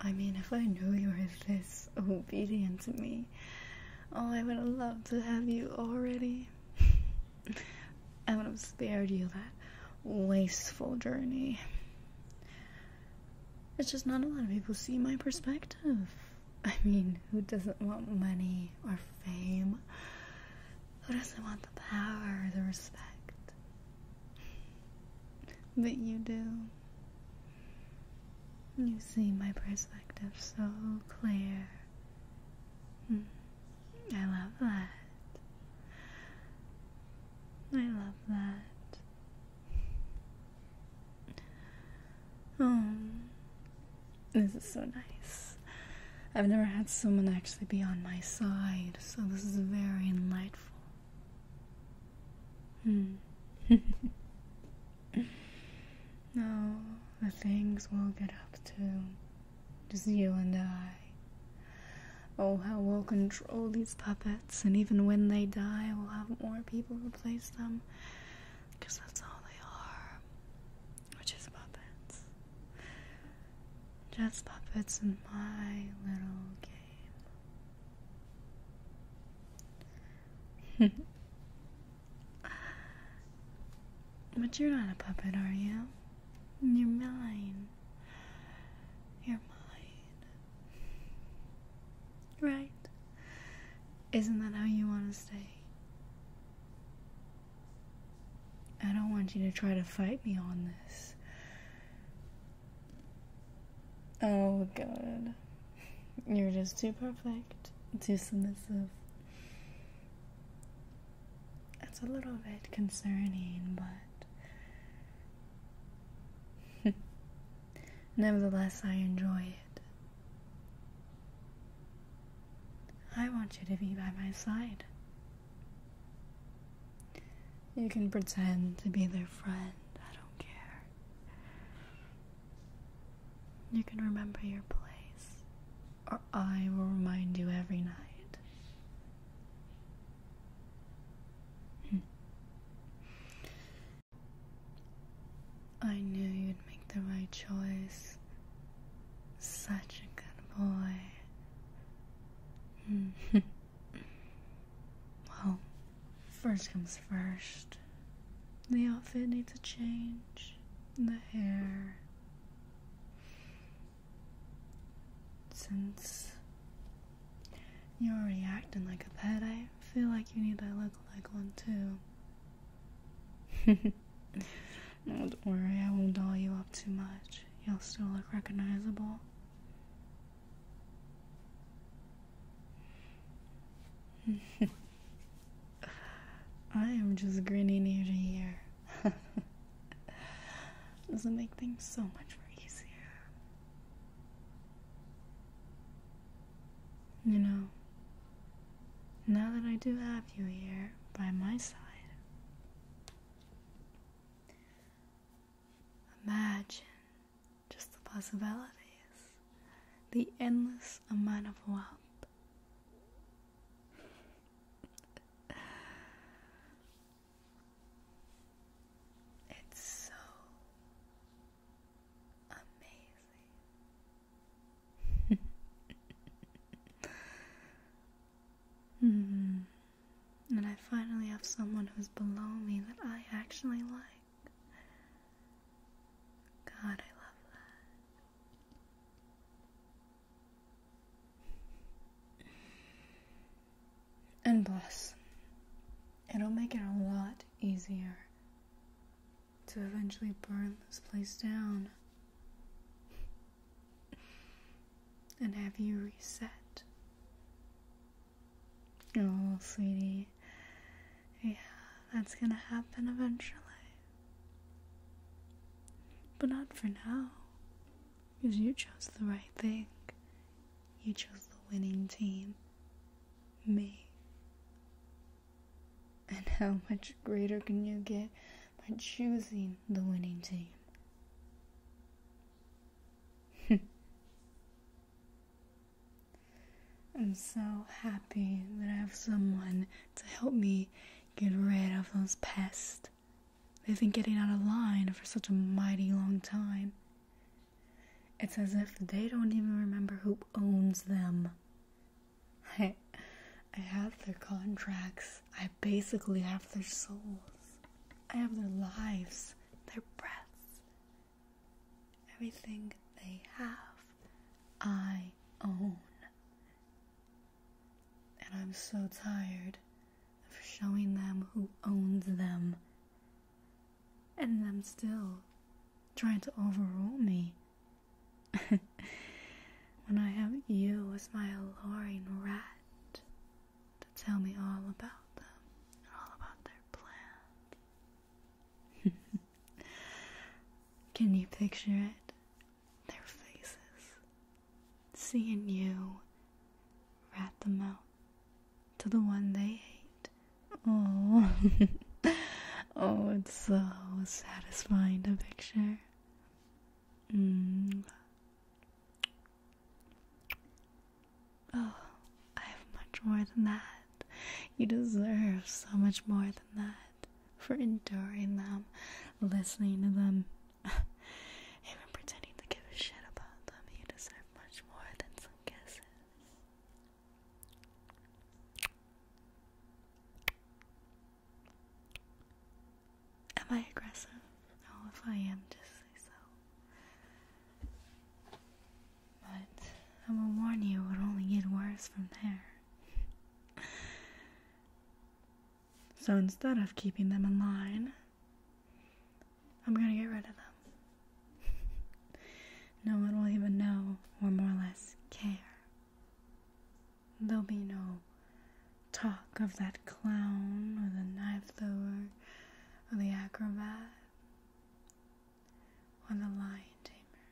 I mean, if I knew you were this obedient to me, oh, I would have loved to have you already. I would have spared you that wasteful journey. It's just not a lot of people see my perspective. I mean, who doesn't want money or fame? Who doesn't want the power, the respect? But you do. You see my perspective so clear. Hmm. I love that. I love that. Oh, this is so nice. I've never had someone actually be on my side, so this is very enlightening. Hmm. the things we'll get up to, just you and I. Oh, how we'll control these puppets, and even when they die, we'll have more people replace them, because that's all they are, which is puppets. Just puppets in my little game. but you're not a puppet, are you? You're mine. You're mine. Right? Isn't that how you want to stay? I don't want you to try to fight me on this. Oh, God. You're just too perfect, too submissive. It's a little bit concerning, but. Nevertheless, I enjoy it. I want you to be by my side. You can pretend to be their friend, I don't care. You can remember your place, or I will remind you every night. Hmm. I knew you'd make the right choice. Such a good boy. well, first comes first. The outfit needs a change. The hair. Since you're acting like a pet, I feel like you need to look like one too. don't worry, I won't doll you up too much. You'll still look recognizable. I am just grinning ear to ear. Doesn't make things so much more easier. You know, now that I do have you here by my side. Imagine just the possibilities, the endless amount of wealth. It's so Amazing. hmm. And I finally have someone who's below me that I actually like. God, I love that. And bless. It'll make it a lot easier to eventually burn this place down and have you reset. Oh, sweetie. Yeah, that's gonna happen eventually. But not for now. Because you chose the right thing. You chose the winning team me. And how much greater can you get by choosing the winning team? I'm so happy that I have someone to help me get rid of those pests. They've been getting out of line for such a mighty long time. It's as if they don't even remember who owns them. I, I have their contracts. I basically have their souls. I have their lives, their breaths. Everything they have, I own. And I'm so tired of showing them who owns them, and them still trying to overrule me. when I have you as my alluring rat to tell me all about them and all about their plan. Can you picture it? Their faces, seeing you rat them out to the one they hate. Oh, oh, it's so satisfying to picture. Mm. Oh, I have much more than that. You deserve so much more than that for enduring them, listening to them, Even pretending to give a shit about them, you deserve much more than some kisses. Am I aggressive? No, oh, if I am, just say so. But I will warn you, it will only get worse from there. So instead of keeping them in line, I'm going to get rid of them. no one will even know or more or less care. There'll be no talk of that clown or the knife thrower or the acrobat or the lion tamer.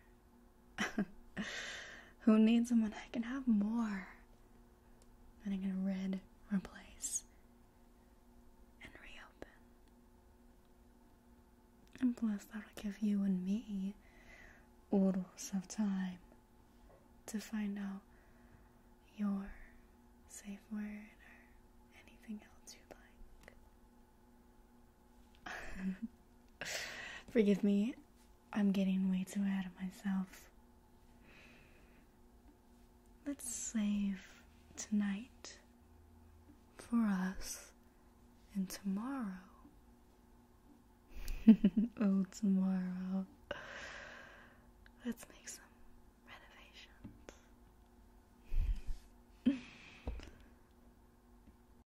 Who needs someone I can have more? Then I can red, replace, and reopen. And plus, that'll give you and me oodles of time to find out your safe word or anything else you'd like. Forgive me I'm getting way too ahead of myself. Let's save tonight for us and tomorrow. oh, tomorrow. Let's make some renovations.